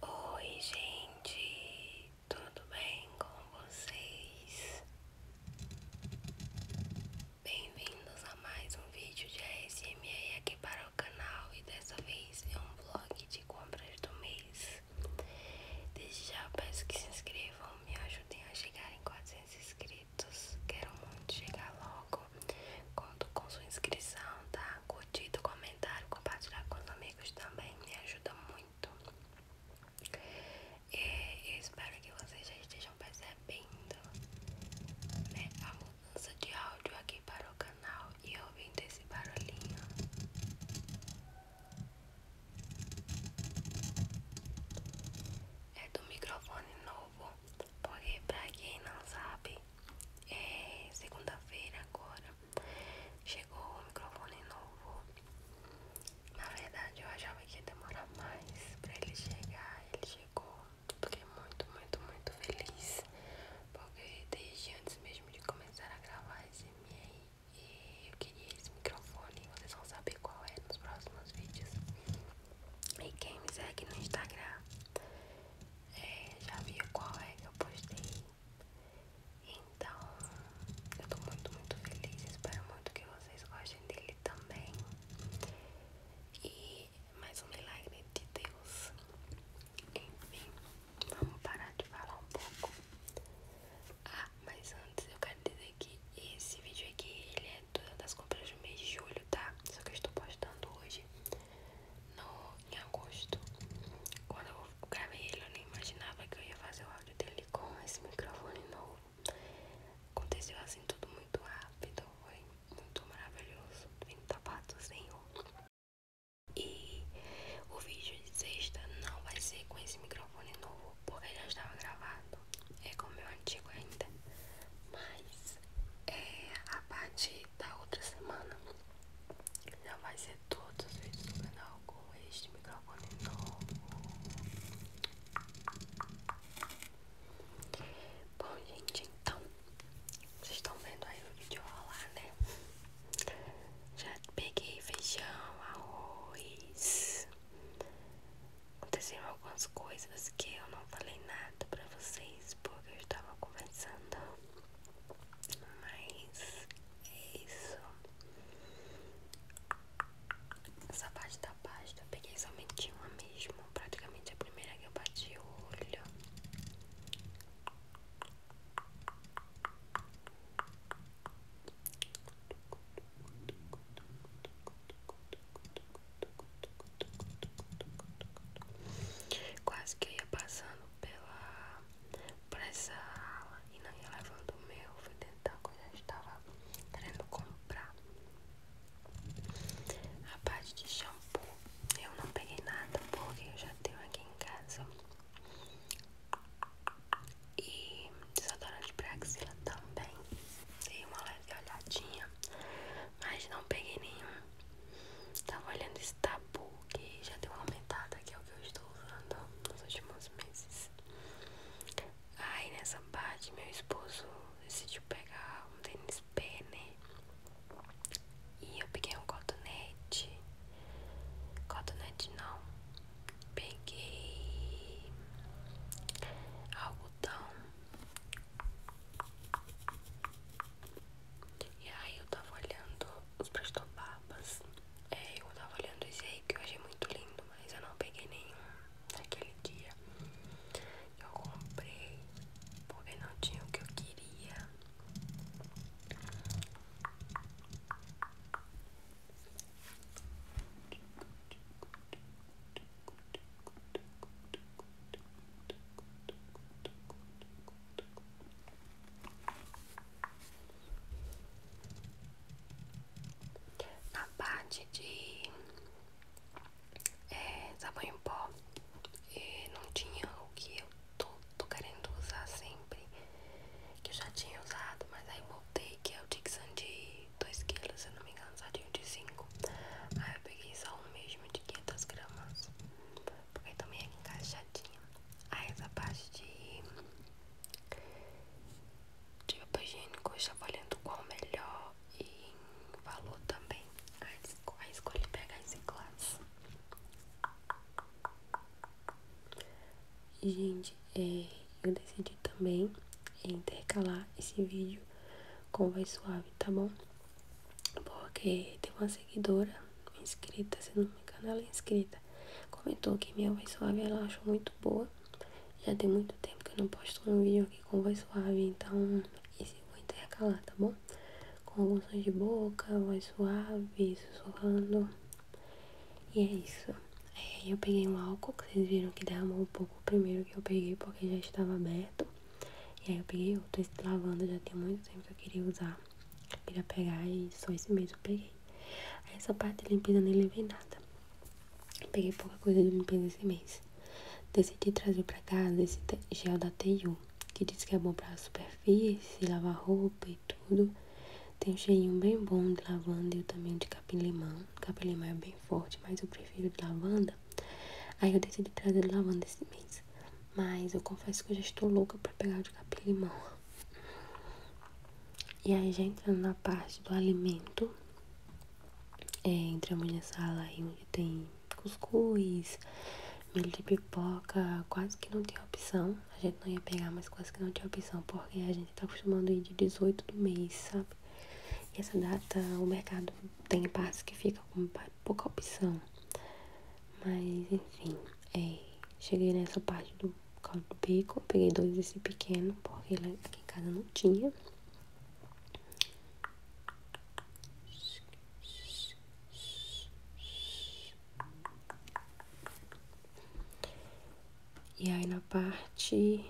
Oi, gente, tudo bem com vocês? Bem-vindos a mais um vídeo de ASMR aqui para o canal e dessa vez é um vlog de compras do mês. Desde já peço que se inscrevam, me ajudem a chegar em 400 inscritos. Quero muito chegar logo. Conto com sua inscrição, tá? Curtido, comenta comentário, compartilhar com os amigos também me ajuda muito. É, eu espero que vocês já estejam percebendo né, a mudança de áudio aqui para o canal e ouvindo esse barulhinho. É do microfone novo, porque pra quem não sabe, é segunda-feira agora Chegou o microfone novo. Na verdade, eu achava que ia demorar mais pra ele chegar. Ele chegou. Fiquei muito, muito, muito feliz. Porque desde antes mesmo de começar a gravar esse MI, e eu queria esse microfone. Vocês vão saber qual é nos próximos vídeos. E quem me segue no Instagram é, já viu qual é que eu postei então, eu tô muito, muito feliz. Espero muito que vocês gostem dele também. E mais um milagre de Deus. Enfim, vamos parar de falar um pouco. Ah, mas antes eu quero dizer que esse vídeo aqui ele é das compras do mês de julho, tá? Só que eu estou postando hoje no, em agosto. Quando eu gravei ele, eu nem imaginava que eu ia fazer o áudio dele com esse microfone novo. Aconteceu assim tudo muito rápido, foi muito maravilhoso. Vim tapadozinho. E o vídeo de sexta não vai ser com esse microfone novo, porque já estava gravado. É com o meu antigo ainda. Mas é, a parte da outra semana já vai ser todos os vídeos do canal com este microfone novo. Bom, gente, então vocês estão vendo aí o vídeo rolar, né? Já peguei feijão, arroz. Aconteceram algumas coisas que eu não falei nada pra vocês porque eu estava conversando. Mas é isso. Essa parte da pasta eu peguei somente uma mesmo. Praticamente a primeira que eu bati o olho. Quase que eu ia passando pela pra essa ala e não ia levando o meu. Fui tentar que eu estava querendo comprar. A parte de shampoo eu não peguei nada porque eu já tenho aqui em casa. E desodorante pra também. Dei uma leve olhadinha, mas não peguei nenhum. Tava olhando esse tabu que já deu uma aumentada, que é o que eu estou usando nos últimos meses. Aí nessa parte, meu esposo decidiu pegar um tênis pé, E eu peguei um cotonete. Cotonete não. Peguei algodão. E aí eu tava olhando os prestobabas. É, eu tava olhando esse aí que eu achei muito lindo, mas eu não peguei nenhum naquele dia. Eu comprei porque não tinha o que eu queria. Na parte de é, sabão em pó, e é, não tinha o que eu tô, querendo usar sempre, que eu já tinha usado, mas aí voltei, que é o Dixon de 2kg, se eu não me engano, só de 5 Aí eu peguei só um mesmo de 500 gramas porque também é encaixadinha. Aí essa parte de, de papel higiênico eu estava olhando qual melhor e valor também. Aí, escolhi pegar esse glass. gente, é, eu decidi também intercalar esse vídeo com voz suave, tá bom? Porque tem uma seguidora inscrita, se não me engano, ela é inscrita, comentou que minha voz suave ela achou muito boa. Já tem muito tempo que eu não posto um vídeo aqui com voz suave, então isso eu vou intercalar, tá bom? Com alguns sons de boca, voz suave, sussurrando. E é isso. Aí é, eu peguei o álcool, vocês viram que derramou um pouco o primeiro que eu peguei porque já estava aberto. E aí eu peguei outro, esse lavanda já tem muito tempo que eu queria usar. Queria pegar e só esse mês eu peguei. Aí essa parte de limpeza nem levei nada. peguei pouca coisa de limpeza esse mês. Decidi trazer pra casa esse gel da TU, que diz que é bom pra superfície, lavar roupa e tudo. Tem um cheirinho bem bom de lavanda e também de capim-limão. Capim-limão é bem forte, mas eu prefiro de lavanda. Aí eu decidi trazer de lavanda esse mês. Mas eu confesso que eu já estou louca pra pegar o de capim-limão. E aí já entrando na parte do alimento, é, entramos nessa ala aí onde tem cuscuz, milho de pipoca, quase que não tem opção. A gente não ia pegar, mas quase que não tinha opção, porque a gente tá acostumando a ir de 18 do mês, sabe? E essa data o mercado tem partes que fica com pouca opção. Mas enfim, é, cheguei nessa parte do caldo do bacon, peguei dois desse pequeno, porque aqui em casa não tinha. E aí na parte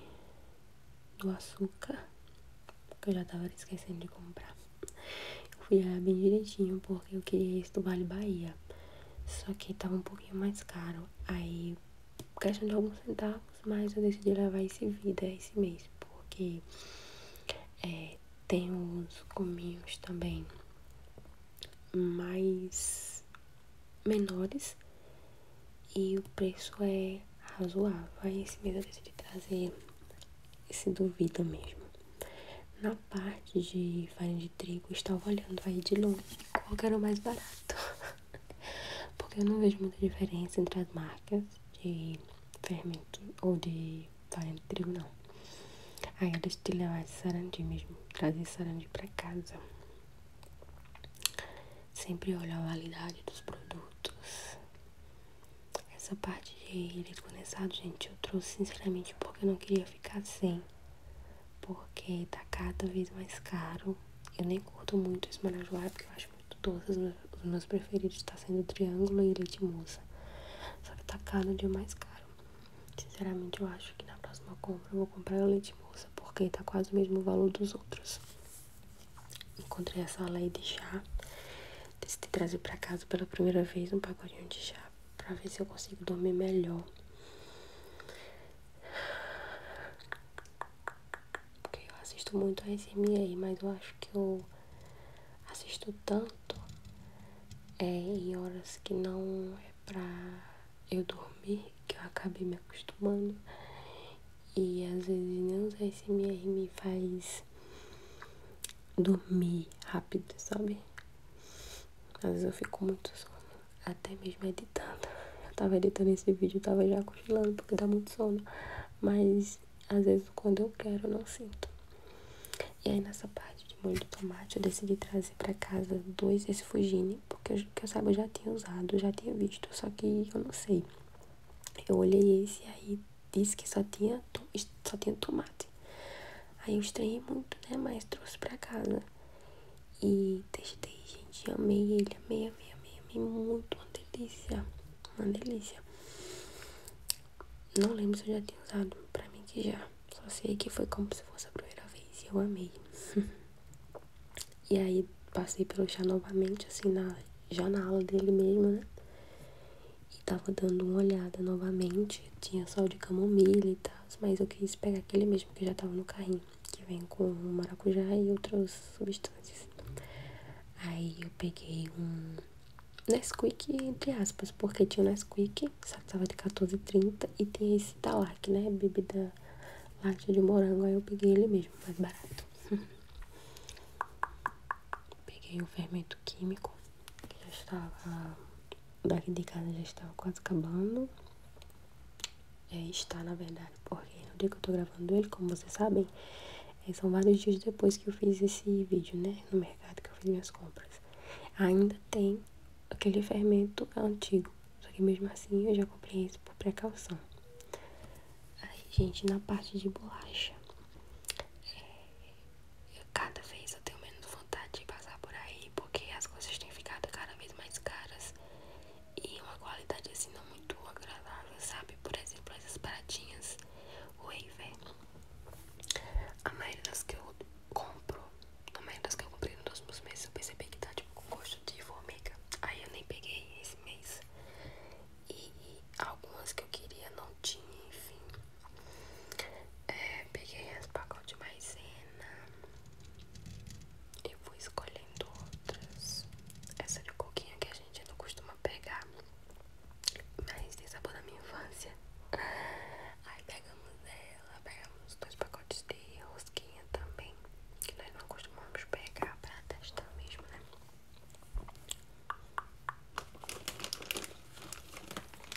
do açúcar, que eu já tava esquecendo de comprar, fui olhar bem direitinho, porque eu queria esse do Vale Bahia. Só que tava um pouquinho mais caro. Aí, por questão de alguns centavos, mas eu decidi levar esse vida esse mês. Porque é, tem uns cominhos também mais menores. E o preço é razoável. Aí esse mês eu decidi trazer esse do vida mesmo. Na parte de farinha de trigo, eu estava olhando aí de longe qual era o mais barato. Porque eu não vejo muita diferença entre as marcas de fermento ou de farinha de trigo, não. Aí eu decidi levar esse sarandi mesmo, trazer esse sarandi pra casa. Sempre olho a validade dos produtos. Essa parte de leite condensado, gente, eu trouxe sinceramente porque eu não queria ficar sem porque tá cada vez mais caro. Eu nem curto muito esse marajoara porque eu acho muito doce. Os meus, os meus preferidos tá sendo triângulo e leite moça. Só que tá cada dia mais caro. Sinceramente, eu acho que na próxima compra eu vou comprar o leite moça porque tá quase o mesmo valor dos outros. Encontrei essa lei de chá. Decidi trazer para casa pela primeira vez um pacotinho de chá pra ver se eu consigo dormir melhor. Porque eu assisto muito a SMR, mas eu acho que eu assisto tanto é, em horas que não é pra eu dormir que eu acabei me acostumando. E às vezes nem os ASMR me faz dormir rápido, sabe? Às vezes eu fico muito sono, até mesmo editando. Eu tava editando esse vídeo, tava já cochilando porque dá muito sono, mas às vezes quando eu quero eu não sinto. E aí nessa parte de molho de tomate eu decidi trazer para casa dois desse Fujini, porque eu, que eu saiba já tinha usado, já tinha visto, só que eu não sei. Eu olhei esse aí disse que só tinha, só tinha tomate. Aí eu estranhei muito, né? Mas trouxe pra casa. E testei, gente. Amei ele, amei, amei, amei, amei muito. Uma delícia. Uma delícia. Não lembro se eu já tinha usado. Pra mim que já. Só sei que foi como se fosse a primeira vez. E eu amei. e aí passei pelo chá novamente, assim, na, já na aula dele mesmo, né? E tava dando uma olhada novamente. Tinha sal de camomila e tal mas eu quis pegar aquele mesmo que já tava no carrinho, que vem com maracujá e outras substâncias. Aí eu peguei um Nesquik, entre aspas, porque tinha o Nesquik, só tava de 14,30 e tem esse Talac, né? Bebida láctea de morango, aí eu peguei ele mesmo, mais barato. peguei o fermento químico, que já estava daqui de casa já estava quase acabando. É, está, na verdade, porque no dia que eu estou gravando ele, como vocês sabem, é, são vários dias depois que eu fiz esse vídeo, né? No mercado que eu fiz minhas compras. Ainda tem aquele fermento antigo, só que mesmo assim eu já comprei esse por precaução. Aí, gente, na parte de bolacha, é, cada vez eu tenho menos vontade de passar por aí, porque as coisas têm ficado cada vez mais caras e uma qualidade assim não muito agradável, sabe? Por exemplo, essas baratinhas, Waver. A maioria das que eu compro, a maioria das que eu comprei nos últimos meses, eu percebi que tá tipo com gosto de formiga. Aí eu nem peguei esse mês. E algumas que eu queria não tinha, enfim. É, peguei as pacotes de maisena, eu vou escolhendo outras. Essa de coquinha que a gente não costuma pegar, mas tem sabor da minha infância. Aí pegamos ela, pegamos dois pacotes de rosquinha também, que nós não costumamos pegar pra testar mesmo, né?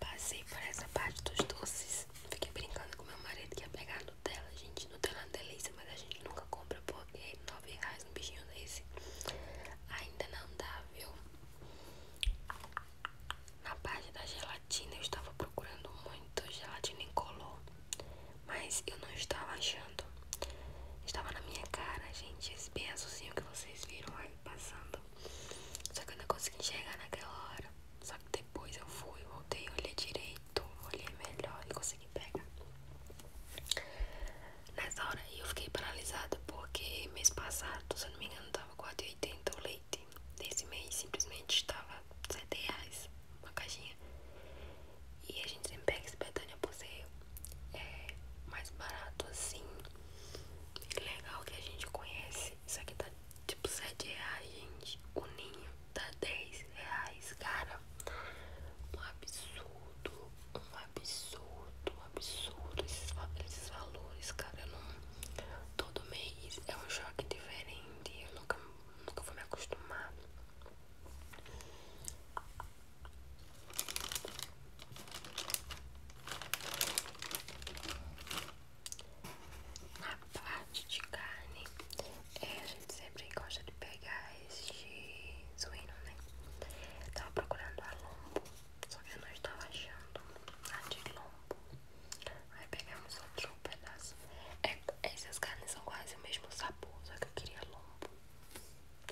Passei por essa parte dos doces. Fiquei brincando com meu marido que ia pegar a Nutella. Gente, Nutella é uma delícia, mas a gente nunca compra porque é R$ 9,00 um bichinho desse. Ainda não dá, viu? Na parte da gelatina eu estava procurando muito gelatina incolor, mas eu não estava achando. Estava na minha cara, gente, esse bem que vocês viram aí passando. Só que eu não consegui enxergar naquela hora. Só que depois eu fui, voltei, olhei direito, olhei melhor e consegui pegar. Nessa hora eu fiquei paralisada porque mês passado, se eu não me engano, tava 4,80 o leite. Desse mês simplesmente estava 7 reais uma caixinha. E a gente sempre pega esse Betânia por ser é, mais barato assim. Legal que a gente conhece isso aqui tá tipo 7 reais, gente. O ninho tá 10 reais, cara. Um absurdo, um absurdo, um absurdo esses, valores, cara. não, todo mês é um choque diferente. Eu nunca, nunca vou me acostumar a parte de carne, é, a gente sempre gosta de pegar este suíno, né? tava procurando a lombo, só que eu não estava achando a de lombo. Aí pegamos outro pedaço. É, essas carnes são quase o mesmo sabor, só que eu queria lombo.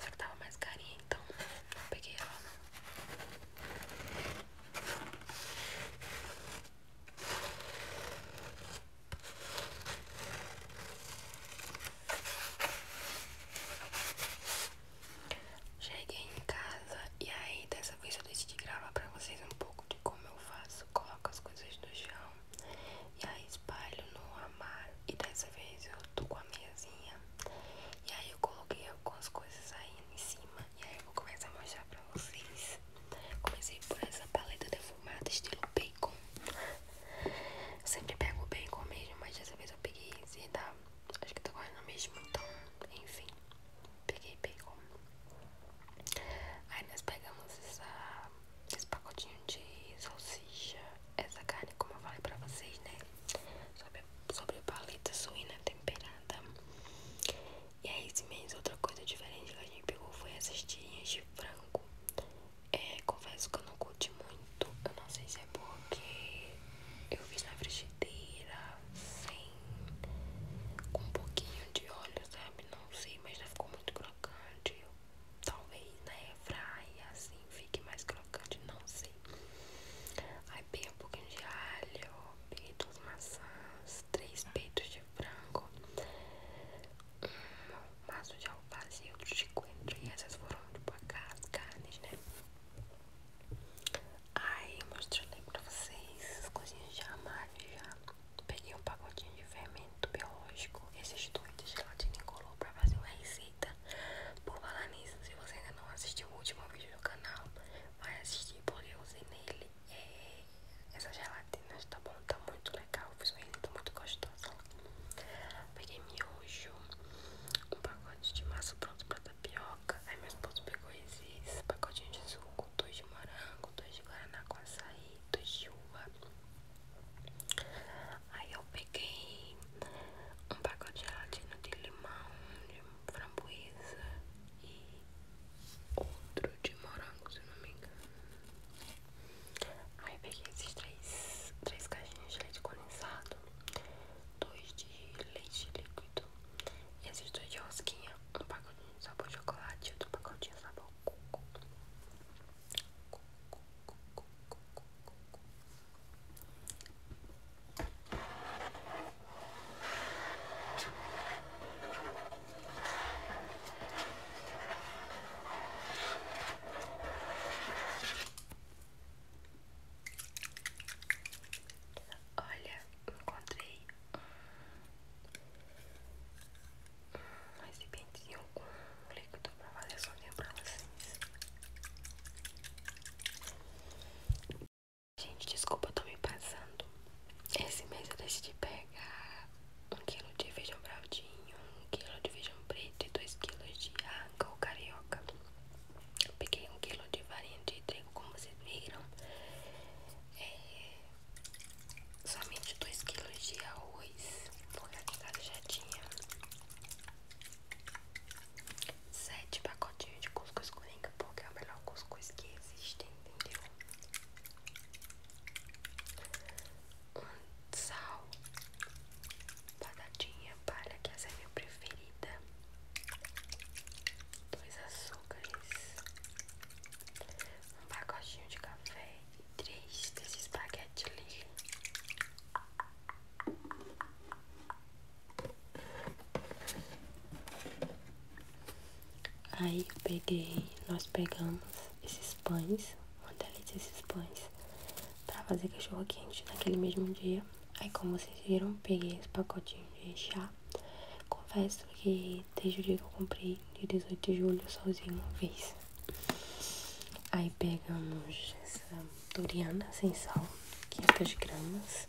Só que tava mais carinha, então não peguei ela não. Cheguei em casa e aí dessa vez eu decidi gravar pra vocês um pouco de como eu faço. Coloco as coisas no chão e aí espalho no armário. E dessa vez eu tô com a meiazinha. E aí eu coloquei algumas coisas aí em cima e aí eu vou começar a mostrar pra vocês. Comecei por essa paleta defumada estilo bacon. Eu sempre pego bacon mesmo, mas dessa vez eu peguei esse da... Tá? Acho que tá guardando mesmo, então, enfim. Peguei bacon. Aí nós pegamos esse pacotinho de salsicha. Essa carne, como eu falei pra vocês, né? sobre paleta suína temperada. E aí, esse mês, outra coisa diferente que a gente pegou foi essas tirinhas de frango. É, confesso que eu não curti muito. Eu não sei se é porque eu fiz na frigideira, sem. com um pouquinho de óleo, sabe? Não sei, mas já ficou muito crocante. talvez na né, fraia, assim, fique mais crocante, não sei. É, bem um pouquinho de alho, peguei duas maçãs, três peitos de frango, um maço de alface e outro de coentro. E essas foram tipo as carnes, né? Aí eu mostrei pra vocês as coisinhas de armário já. Peguei um pacotinho de fermento biológico, esses dois de gelatina incolor pra fazer uma receita. Por falar nisso, se você ainda não assistiu o último vídeo do canal, vai assistir porque eu usei nele é, essa gelatina, tá bom? Tá muito legal, fiz uma receita tá muito gostoso Peguei miojo, um pacote de massa pronto pra tapioca. Aí meu esposo pegou esses pacotinhos de suco, dois de morango, dois de guaraná com açaí, dois de uva. Aí eu peguei um pacote de gelatina de limão, de framboesa e outro de morango, se não me engano. Aí peguei esses três, três caixinhas de leite condensado, dois de leite líquido e esses dois de rosquinha, um pacotinho de sabor chocolate e outro pacotinho de sabor coco. Olha, encontrei um recipientinho de um líquido para fazer soninho para vocês. Gente, desculpa, eu tô me passando. Esse mês eu decidi pegar um quilo de feijão braudinho, um quilo de feijão preto e dois quilos de arranca ou carioca. Eu peguei um quilo de farinha de trigo, como vocês viram. É, somente dois quilos de arroz, porque a em casa já tinha sete pacotinhos de cuscuz coringa porque é o melhor cuscuz que existe, entendeu? Um sal, batatinha palha que essa é minha preferida, dois açúcares, um pacotinho de café e três desses espaguete ali. Aí eu peguei, nós pegamos esses pães, uma delícia esses pães, pra fazer cachorro quente naquele mesmo dia. Aí como vocês viram, peguei esse pacotinho de chá. Confesso que desde o dia que eu comprei, de 18 de julho, sozinho uma vez. Aí pegamos essa duriana sem sal, 500 gramas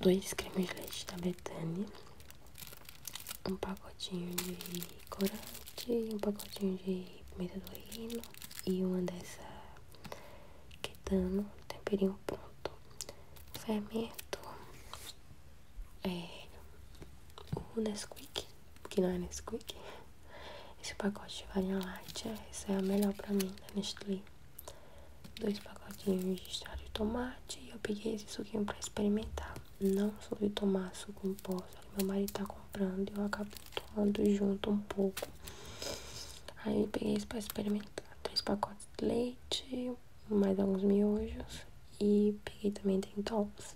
dois cremes de leite da Betane, um pacotinho de corante, um pacotinho de pimenta do reino e uma dessa quetano, temperinho pronto, fermento, é, o Nesquik, que não é Nesquik, esse pacote vai farinha láctea, é, essa é a melhor pra mim da Nestlé dois pacotinhos de extrato de tomate e eu peguei esse suquinho pra experimentar. Não soube tomar suco em pó, meu marido tá comprando e eu acabo tomando junto um pouco. Aí peguei isso pra experimentar. Três pacotes de leite, mais alguns miojos e peguei também dentols.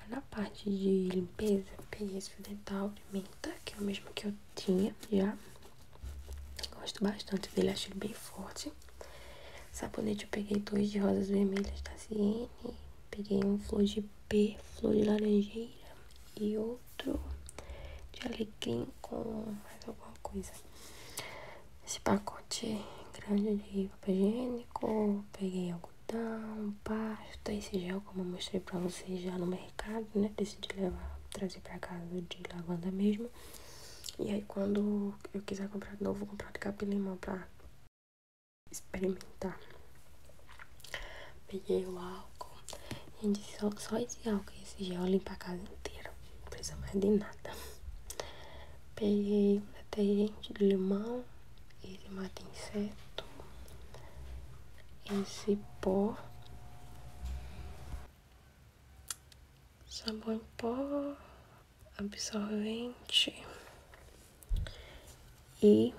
Aí na parte de limpeza, peguei esse dental de menta, que é o mesmo que eu tinha já. Gosto bastante dele, acho ele bem forte. Sabonete eu peguei dois de rosas vermelhas da Ciene. Peguei um flor de p flor de laranjeira e outro de alecrim com mais alguma coisa. Esse pacote é grande de papel higiênico, peguei algodão, pasta, esse gel como eu mostrei pra vocês já no mercado, né? Decidi levar, trazer pra casa de lavanda mesmo. Né? E aí quando eu quiser comprar de novo, vou comprar de capa limão pra experimentar. Peguei o álcool. Gente, só, só esse álcool e esse gel limpar a casa inteira. Não precisa mais de nada. Peguei detergente de limão. Esse mata inseto. Esse pó sabão em pó, absorvente e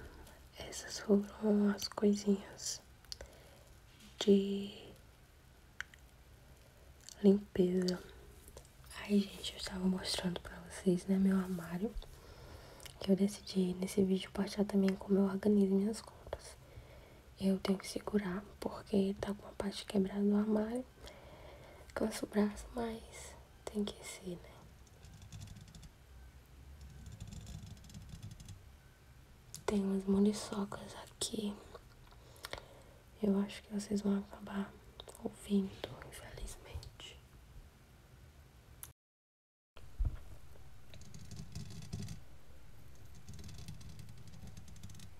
essas foram as coisinhas de limpeza. Aí, gente, eu estava mostrando para vocês, né, meu armário. Que eu decidi nesse vídeo postar também como eu organizo minhas compras eu tenho que segurar porque tá com a parte quebrada do armário. Cansa o braço, mas tem que ser, né? Tem umas muriçocas aqui. Eu acho que vocês vão acabar ouvindo, infelizmente.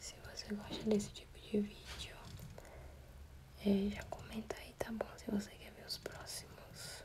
Se você gosta desse tipo de vídeo, é, já comenta aí, tá bom? Se você quer ver os próximos.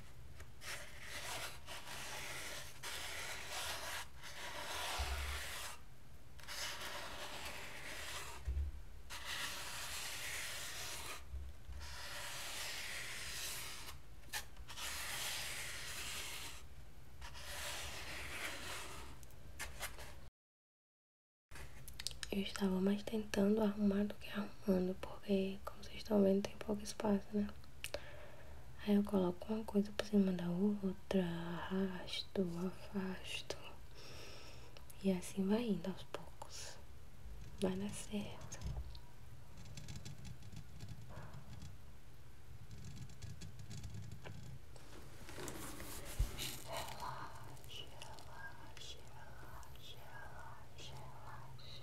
Eu estava mais tentando arrumar do que arrumando, porque como vocês estão vendo tem pouco espaço, né? Aí eu coloco uma coisa por cima da outra, arrasto, afasto. E assim vai indo aos poucos. Vai dar certo. Relaxa, relaxa, relaxa, relaxa, relaxa.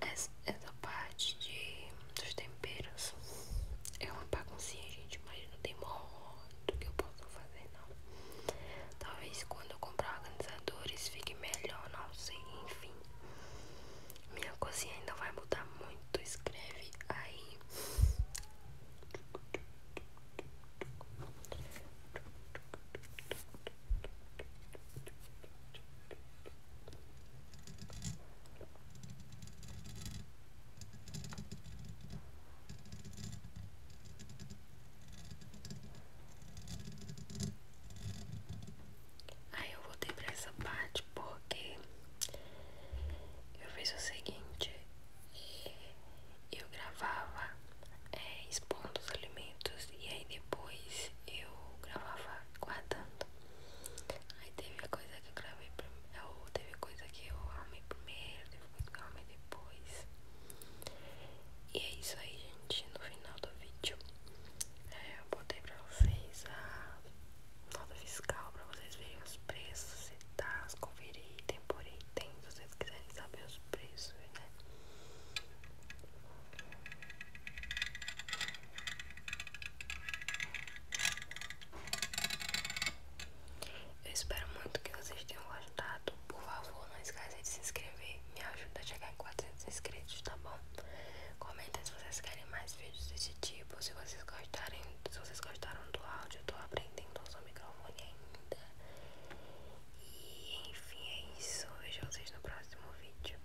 essa, parte de, dos temperos é uma baguncinha, gente, mas não tem muito que eu posso fazer, não. Talvez quando eu comprar organizadores fique melhor, não sei, enfim. Minha cozinha ainda vai mudar muito, escreve aí. Aí eu voltei pra essa parte porque eu fiz o seguinte: eh, eu gravava eh, expondo os alimentos e aí depois eu gravava guardando. Aí teve coisa que eu gravei primeiro, é teve coisa que eu arrumei primeiro, teve coisa que eu arrumei depois. E é isso aí, gente. No final do vídeo, é, eu botei pra vocês a nota fiscal pra vocês verem os preços e tal, conferir item por item, se vocês quiserem saber os preços, né? Eu espero muito que vocês tenham gostado. Por favor, não esqueça de se inscrever. Me ajuda a chegar em 400 inscritos, tá bom? Comenta se vocês querem mais vídeos desse tipo. Se vocês gostarem, se vocês gostaram do áudio, eu tô aprendendo a usar o microfone ainda. E enfim, é isso. Vejo vocês no próximo vídeo.